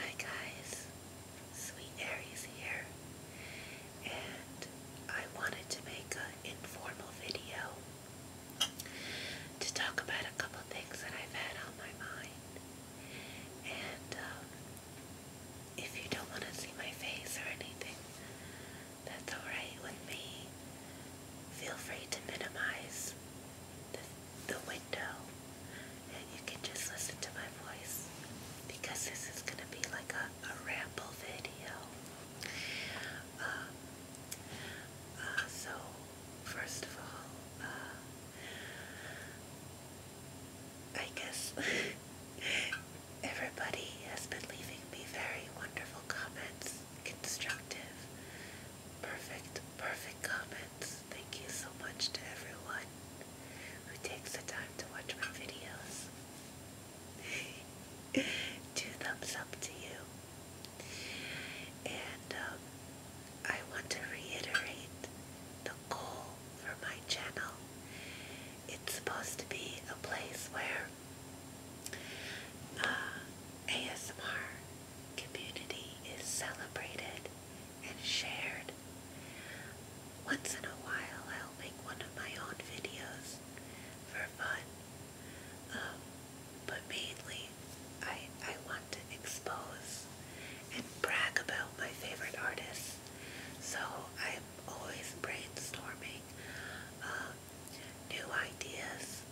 Hi guys, Sweet Aries here, and I wanted to make an informal video to talk about a couple things that I've had on my mind. And um, if you don't want to see my face or anything, that's alright with me. Feel free to minimize the, the window and you can just listen to my voice because this is going to be like a, a ramble video. Uh, uh, so, first of all, uh, I guess everybody has been leaving me very wonderful comments, constructive Perfect, perfect comments. Thank you so much to everyone who takes the time to watch my videos. Two thumbs up to you. And um, I want to reiterate the goal for my channel. It's supposed to be a place where uh, ASMR community is celebrated and shared. Once in a while, I'll make one of my own videos for fun, um, but mainly I, I want to expose and brag about my favorite artists. So I'm always brainstorming um, new ideas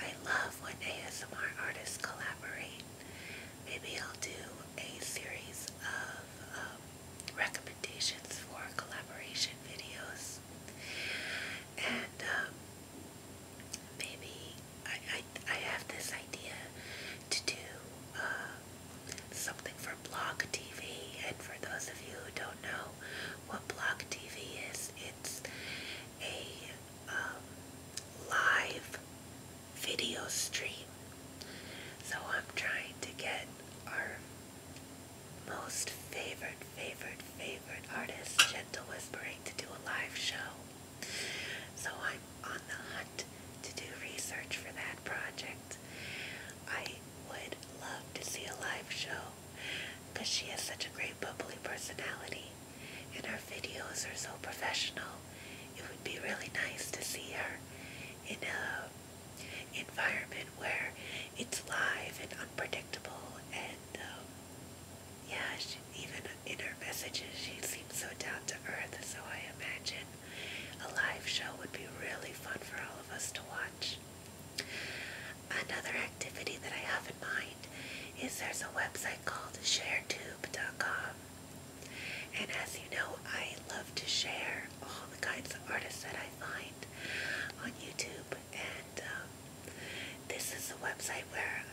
I love when ASMR artists collaborate. Maybe I'll do a series of um, recommendations for collaboration videos. And um, maybe I, I, I have this idea to do um, something for Block TV. And for those of you who don't know what Block TV is, it's a um, live video stream. So I'm trying to get our most favorite, favorite, favorite artist, Gentle Whispering, to do a live show. So I'm on the hunt to do research for that project. I would love to see a live show because she has such a great bubbly personality and her videos are so professional. It would be really nice to see her in a environment where it's live and unpredictable and um, yeah, even in her messages she seems so down to earth so I imagine a live show would be really fun for all of us to watch. Another activity that I have in mind is there's a website called sharetube.com. And as you know, I love to share all the kinds of artists that I find on YouTube. And um, this is a website where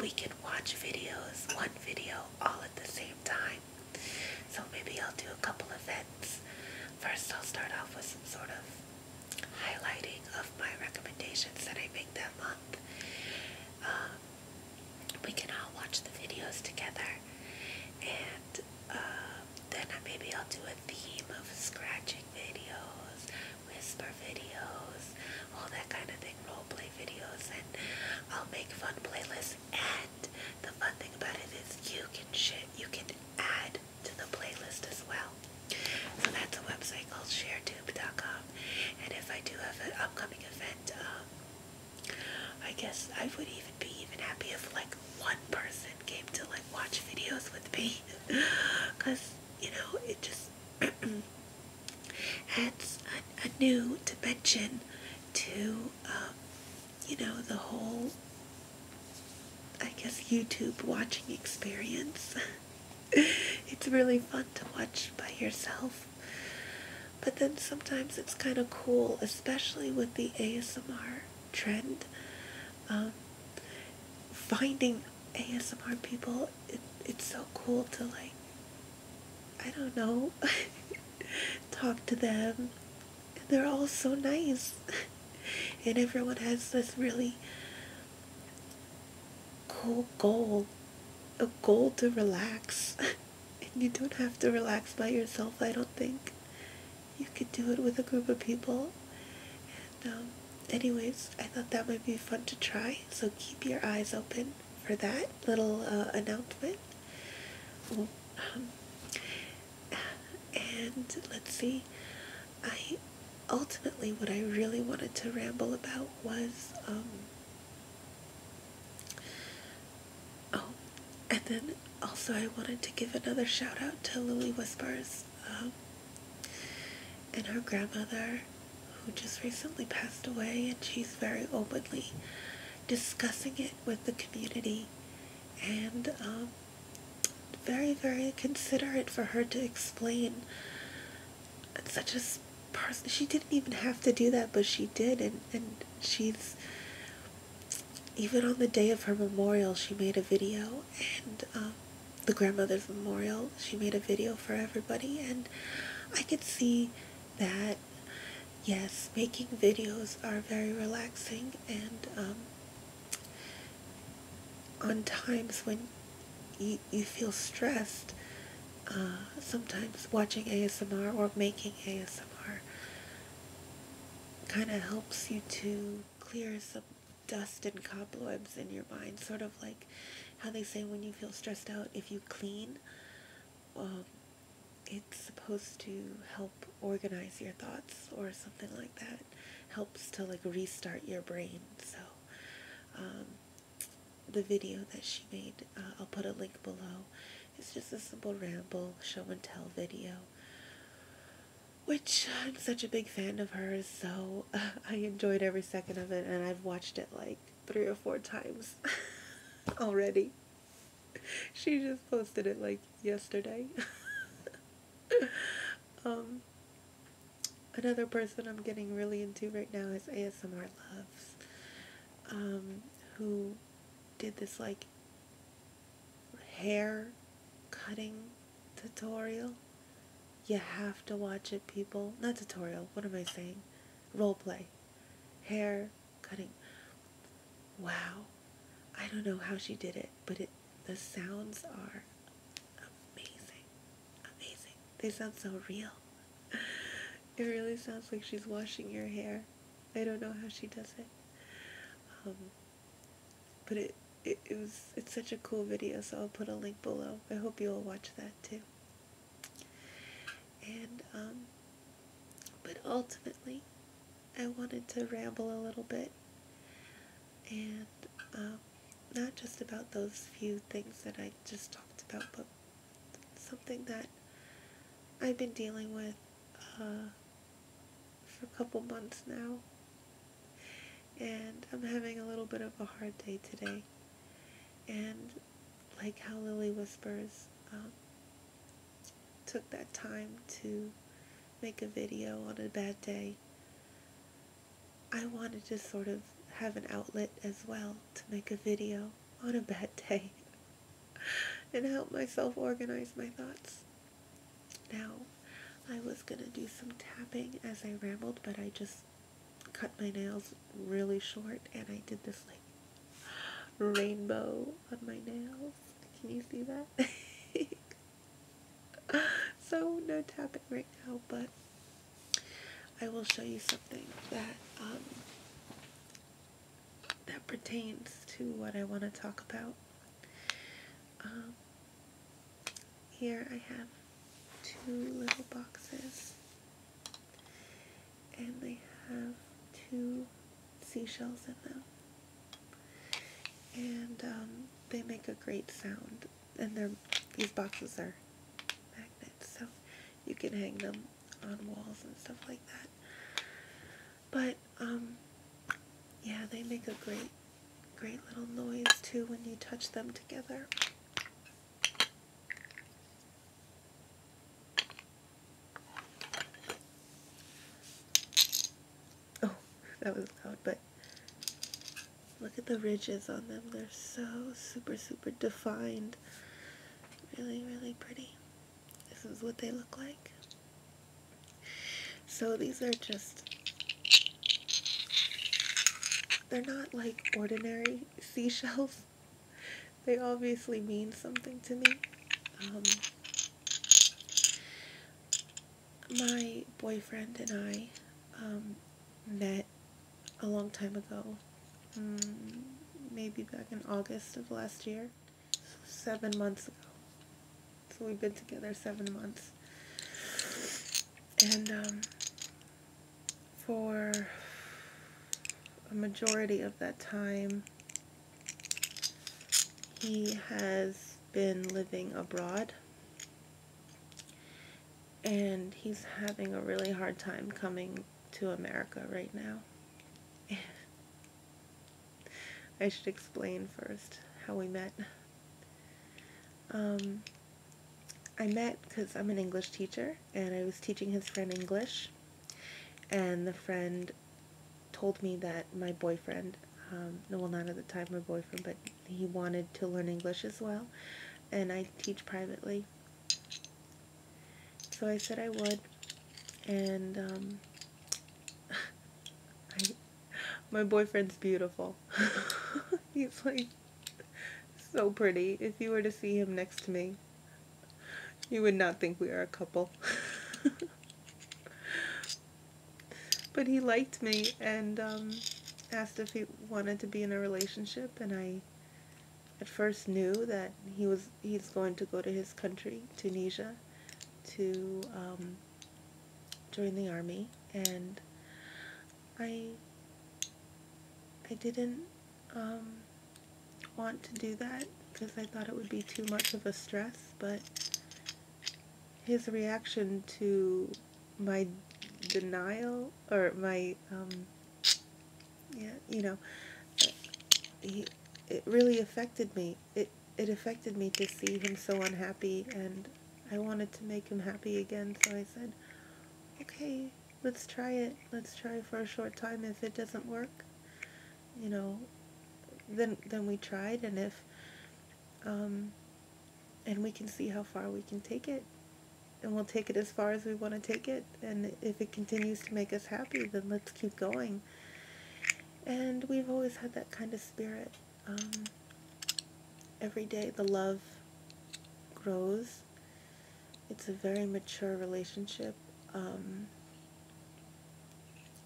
we can watch videos, one video, all at the same time. So maybe I'll do a couple of events. First, I'll start off with some sort of highlighting of my recommendations that I make that month. Um, we can all watch the videos together and uh, then maybe I'll do a theme of scratching videos, whisper videos, all that kind of thing, role play videos, and I'll make fun playlists. And the fun thing about it is you can shit, you can add to the playlist as well. So that's a website I'll Share to youtube.com and if I do have an upcoming event um, I guess I would even be even happy if like one person came to like watch videos with me because you know it just adds a, new dimension to um, you know the whole I guess YouTube watching experience it's really fun to watch by yourself. But then sometimes it's kind of cool, especially with the ASMR trend. Um, finding ASMR people, it's so cool to like, I don't know, talk to them. they're all so nice. and everyone has this really Cool goal. A goal to relax. and you don't have to relax by yourself, I don't think. You could do it with a group of people. Um, anyways, I thought that might be fun to try. So keep your eyes open for that little uh, announcement. Um, and let's see. I ultimately what I really wanted to ramble about was um, Oh, and then also I wanted to give another shout out to Lily Whispers um, and her grandmother who just recently passed away and she's very openly discussing it with the community and um, very, very considerate for her to explain such a person she didn't even have to do that but she did and and she's even on the day of her memorial she made a video and um, the grandmother's memorial she made a video for everybody and i could see that yes making videos are very relaxing and um, on times when you, feel stressed uh, sometimes watching ASMR or making ASMR kind of helps you to clear some dust and cobwebs in your mind sort of like how they say when you feel stressed out if you clean um, it's supposed to help organize your thoughts or something like that helps to like restart your brain so um, the video that she made. Uh, I'll put a link below. It's just a simple ramble, show and tell video. Which I'm such a big fan of hers, so I enjoyed every second of it, and I've watched it like three or four times already. She just posted it like yesterday. Um, another person I'm getting really into right now is ASMR Loves, um, who did this like hair cutting tutorial. You have to watch it, people. Not tutorial. What am I saying? Role play. Hair cutting. Wow. I don't know how she did it, but it the sounds are amazing. Amazing. They sound so real. It really sounds like she's washing your hair. I don't know how she does it. Um, but it, it, it was it's such a cool video, so I'll put a link below. I hope you'll watch that too. And um, but ultimately, I wanted to ramble a little bit, and um, not just about those few things that I just talked about, but something that I've been dealing with uh, for a couple months now. And I'm having a little bit of a hard day today. And like how Lily Whispers um, took that time to make a video on a bad day, I wanted to sort of have an outlet as well to make a video on a bad day and help myself organize my thoughts. Now, I was going to do some tapping as I rambled, but I just cut my nails really short and I did this like rainbow on my nails. Can you see that? so no tapping right now, but I will show you something that um, that pertains to what I want to talk about. Um, here I have two little boxes, and they have two seashells in them, and um, they make a great sound. And they're these boxes are magnetic so you can hang them on walls and stuff like that. But, um, yeah, they make a great, great little noise too when you touch them together. Oh, that was loud, but look at the ridges on them. They're so super, super defined really, really pretty. This is what they look like. So these are just, they're not like ordinary seashells. They obviously mean something to me. Um, my boyfriend and I um, met a long time ago. Mm, maybe back in August of last year. Seven months ago. So we've been together seven months. And um, for a majority of that time, he has been living abroad and he's having a really hard time coming to America right now. I should explain first how we met. Um, I met because I'm an English teacher, and I was teaching his friend English, and the friend told me that my boyfriend, um, no well not at the time my boyfriend, but he wanted to learn English as well, and I teach privately. So I said I would, and um, my boyfriend's beautiful. He's like so pretty. If you were to see him next to me, you would not think we are a couple. but he liked me and um, asked if he wanted to be in a relationship, and I at first knew that he was he's going to go to his country, Tunisia, to um, join the army, and I I didn't um, want to do that because I thought it would be too much of a stress, but his reaction to my denial or my um, yeah, you know, he, it really affected me. It, it affected me to see him so unhappy, and I wanted to make him happy again, so I said, okay, let's try it. Let's try for a short time. If it doesn't work, you know, then, then we tried, and if, um, and we can see how far we can take it and we'll take it as far as we want to take it. And if it continues to make us happy, then let's keep going. And we've always had that kind of spirit. Um, every day the love grows. It's a very mature relationship. Um,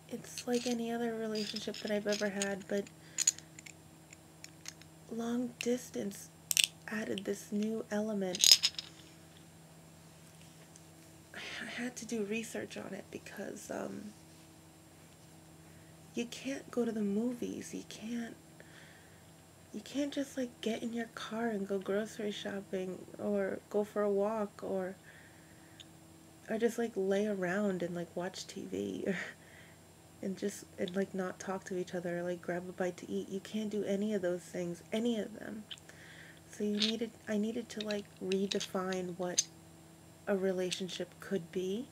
it's like any other relationship that I've ever had, but long distance added this new element. I had to do research on it because um, you can't go to the movies. You can't you can't just like get in your car and go grocery shopping or go for a walk or or just like lay around and like watch TV or, and just and like not talk to each other or like grab a bite to eat. You can't do any of those things any of them. So you needed, I needed to like redefine what a relationship could be.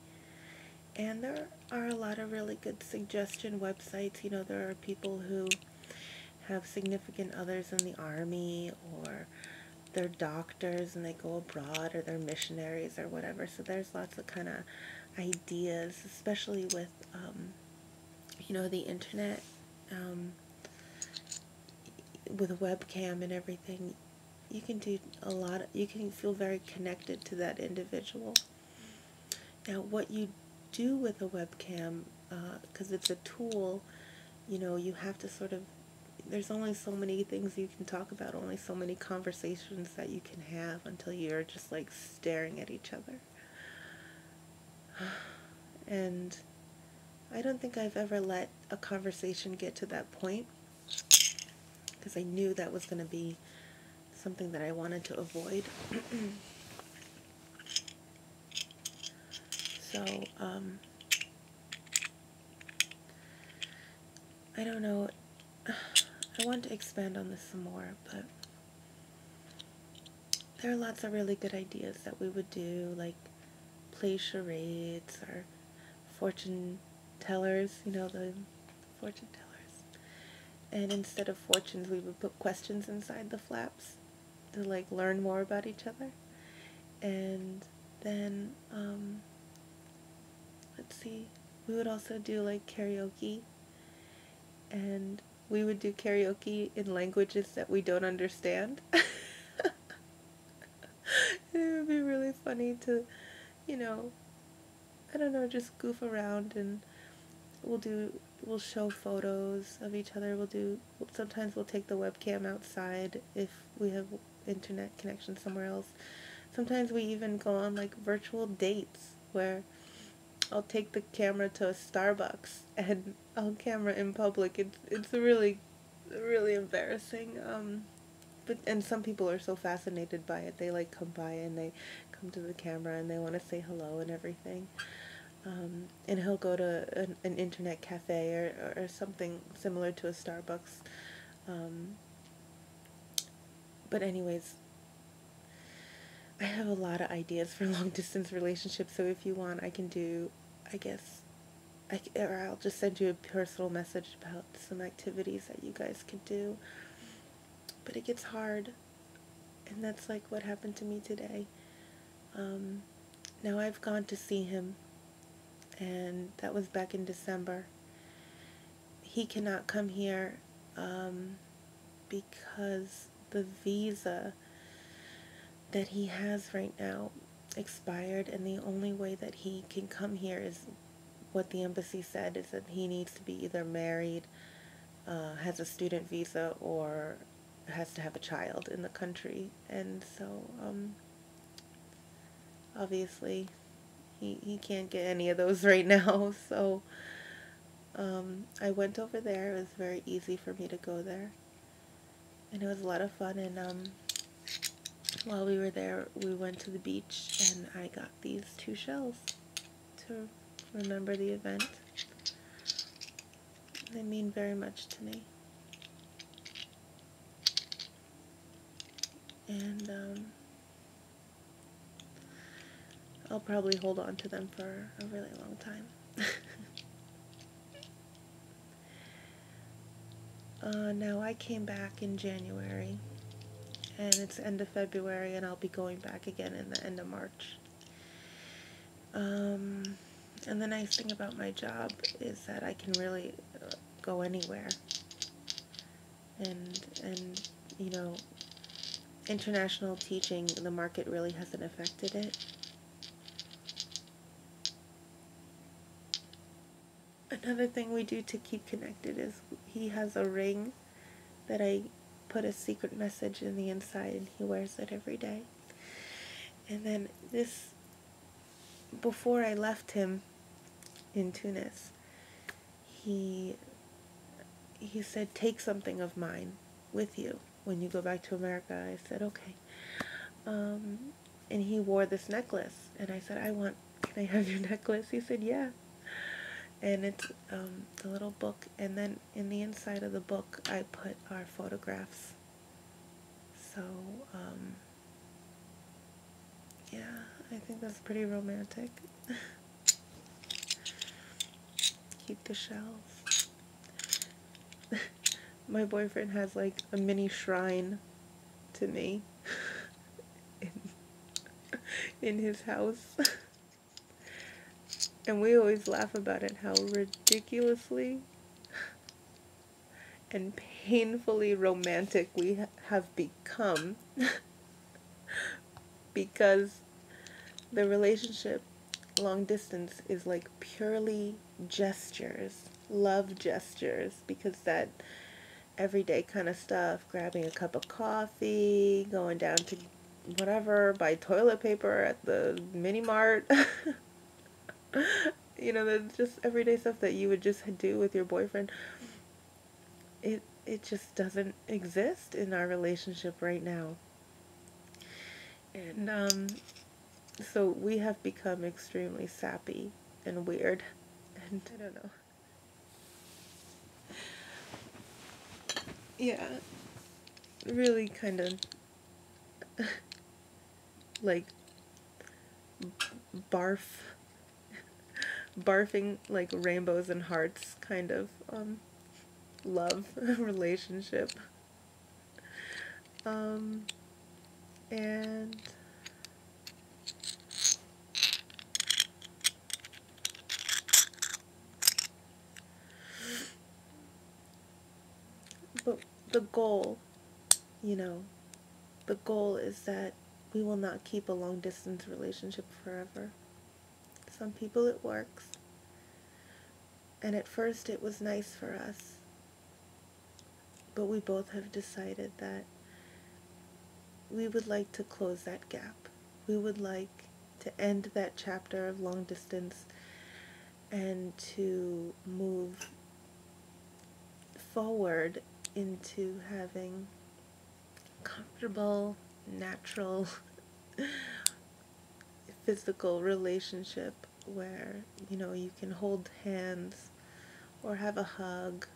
And there are a lot of really good suggestion websites. You know, there are people who have significant others in the army or they're doctors and they go abroad or they're missionaries or whatever. So there's lots of kind of ideas, especially with um, you know, the internet, um, with webcam and everything, you can do a lot, you can feel very connected to that individual. Now, what you do with a webcam, because uh, it's a tool, you know, you have to sort of, there's only so many things you can talk about, only so many conversations that you can have until you're just like staring at each other. And I don't think I've ever let a conversation get to that point because I knew that was going to be something that I wanted to avoid. so, um, I don't know. I want to expand on this some more, but there are lots of really good ideas that we would do, like play charades or fortune tellers, you know, the fortune tellers. And instead of fortunes, we would put questions inside the flaps to like learn more about each other. And then, um, let's see, we would also do like karaoke and we would do karaoke in languages that we don't understand. it would be really funny to, you know, I don't know, just goof around and we'll do we'll show photos of each other. We'll do sometimes we'll take the webcam outside if we have internet connection somewhere else. Sometimes we even go on like virtual dates where I'll take the camera to a Starbucks and I'll camera in public. It's it's really really embarrassing. Um, but and some people are so fascinated by it. They like come by and they come to the camera and they want to say hello and everything. Um, and he'll go to an, internet cafe or, or something similar to a Starbucks. Um, but anyways, I have a lot of ideas for long distance relationships, so if you want, I can do, I guess, I, or I'll just send you a personal message about some activities that you guys could do. But it gets hard, and that's like what happened to me today. Um, now I've gone to see him, and that was back in December. He cannot come here um, because the visa that he has right now expired and the only way that he can come here is what the embassy said is that he needs to be either married, uh, has a student visa, or has to have a child in the country. And so, um, obviously, he, he can't get any of those right now. So, um, I went over there. It was very easy for me to go there. And it was a lot of fun. And um, while we were there, we went to the beach and I got these two shells to remember the event. They mean very much to me. And um, I'll probably hold on to them for a really long time. Uh, now I came back in January and it's end of February and I'll be going back again in the end of March. Um, and the nice thing about my job is that I can really uh, go anywhere and and you know international teaching, the market really hasn't affected it. Another thing we do to keep connected is he has a ring that I put a secret message in the inside and he wears it every day. And then this, before I left him in Tunis, he, he said, take something of mine with you when you go back to America? I said, okay. Um, and he wore this necklace. And I said, I want, can I have your necklace? He said, yeah. And it's um, a little book. And then in the inside of the book, I put our photographs. So, um, yeah, I think that's pretty romantic. Keep the shells. My boyfriend has like a mini shrine to me in, his house. and we always laugh about it how ridiculously and painfully romantic we have become because the relationship long distance is like purely gestures, love gestures, because that everyday kind of stuff, grabbing a cup of coffee, going down to whatever, buy toilet paper at the mini mart. you know, that's just everyday stuff that you would just do with your boyfriend. It it just doesn't exist in our relationship right now. And um, so we have become extremely sappy and weird. And I don't know. Yeah. Really kind of like barf barfing like rainbows and hearts kind of um love relationship um, and but the goal, you know, the goal is that we will not keep a long distance relationship forever. Some people it works. And at first it was nice for us. But we both have decided that we would like to close that gap. We would like to end that chapter of long distance and to move forward into having comfortable, natural physical relationship where you know you can hold hands or have a hug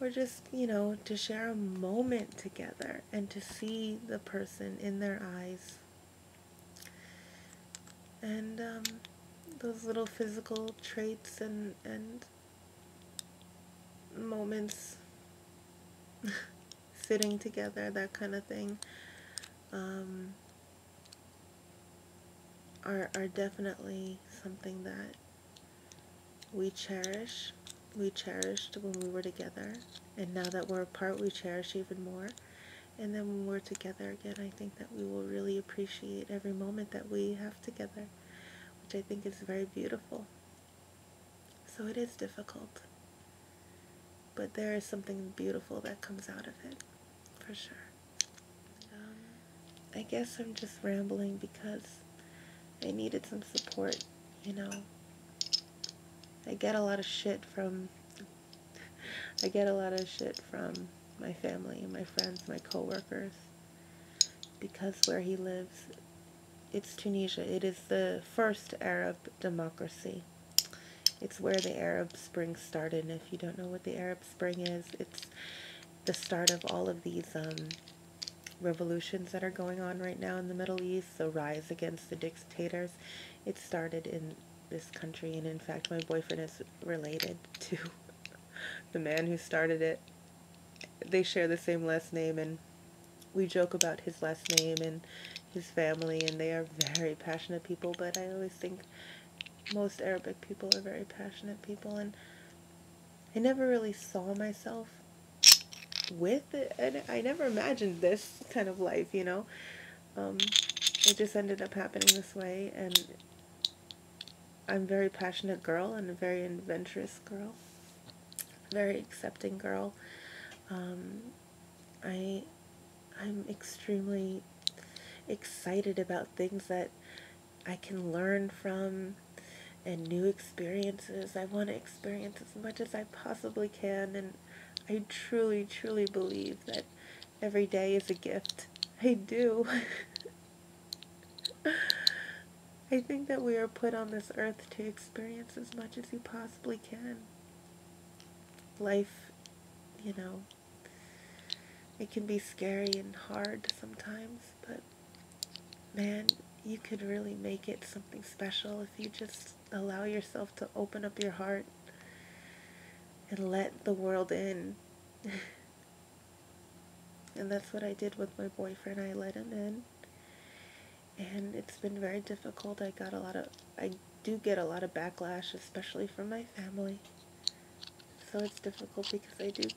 or just you know to share a moment together and to see the person in their eyes and um, those little physical traits and and moments Sitting together, that kind of thing, um, are, are definitely something that we cherish. We cherished when we were together, and now that we're apart, we cherish even more. And then when we're together again, I think that we will really appreciate every moment that we have together, which I think is very beautiful. So it is difficult but there is something beautiful that comes out of it for sure. Um, I guess I'm just rambling because I needed some support, you know. I get a lot of shit from I get a lot of shit from my family, my friends, my coworkers because where he lives it's Tunisia. It is the first Arab democracy. It's where the Arab Spring started. And if you don't know what the Arab Spring is, it's the start of all of these um, revolutions that are going on right now in the Middle East. So rise against the dictators. It started in this country, and in fact, my boyfriend is related to the man who started it. They share the same last name, and we joke about his last name and his family, and they are very passionate people. But I always think most Arabic people are very passionate people, and I never really saw myself with it, and I never imagined this kind of life, you know. Um, it just ended up happening this way, and I'm very passionate girl and a very adventurous girl, very accepting girl. Um, I I'm extremely excited about things that I can learn from and new experiences. I want to experience as much as I possibly can and I truly truly believe that every day is a gift. I do. I think that we are put on this earth to experience as much as we possibly can life, you know, it can be scary and hard sometimes, but man, you could really make it something special if you just allow yourself to open up your heart and let the world in. and that's what I did with my boyfriend. I let him in and it's been very difficult. I got a lot of, I do get a lot of backlash, especially from my family. So it's difficult because I do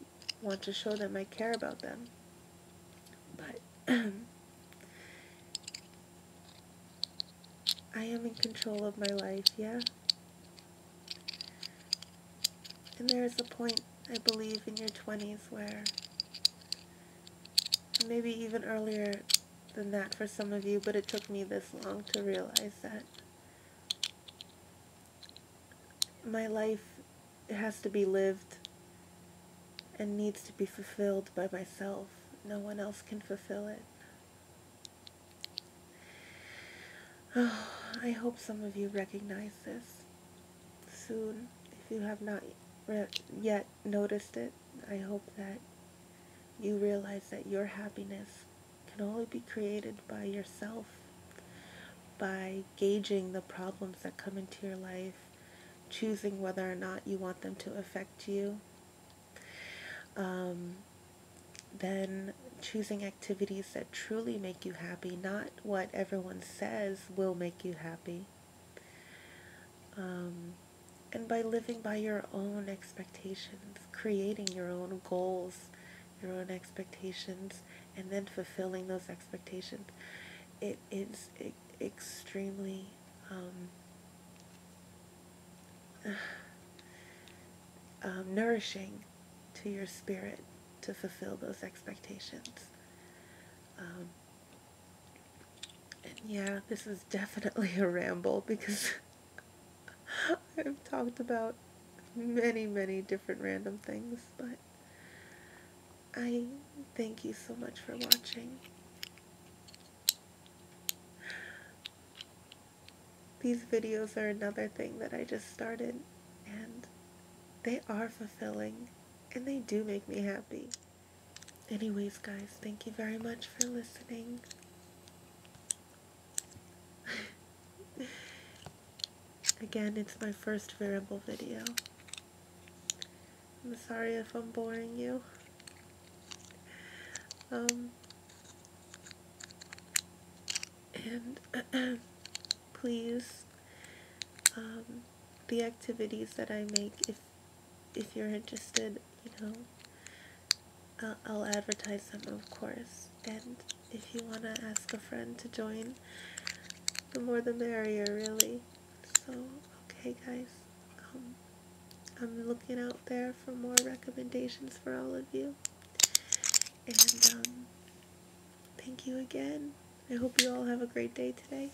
want to show them I care about them. But I am in control of my life, yeah? And there is a point, I believe, in your 20s where, maybe even earlier, than that for some of you, but it took me this long to realize that my life has to be lived and needs to be fulfilled by myself. No one else can fulfill it. I hope some of you recognize this soon if you have not yet noticed it, I hope that you realize that your happiness can only be created by yourself, by gauging the problems that come into your life, choosing whether or not you want them to affect you, um, then choosing activities that truly make you happy, not what everyone says will make you happy. Um, and by living by your own expectations, creating your own goals, your own expectations, and then fulfilling those expectations, it is extremely um, um, nourishing to your spirit to fulfill those expectations. Um, and yeah, this is definitely a ramble because I've talked about many, many different random things, but I thank you so much for watching. These videos are another thing that I just started, and they are fulfilling, and they do make me happy. Anyways, guys, thank you very much for listening. Again, it's my first variable video. I'm sorry if I'm boring you. Um, and please, um, the activities that I make, if if you're interested, you know, I'll advertise them, of course. And if you want to ask a friend to join, the more the merrier, really. So, okay, guys. Um, I'm looking out there for more recommendations for all of you. And um, thank you again. I hope you all have a great day today.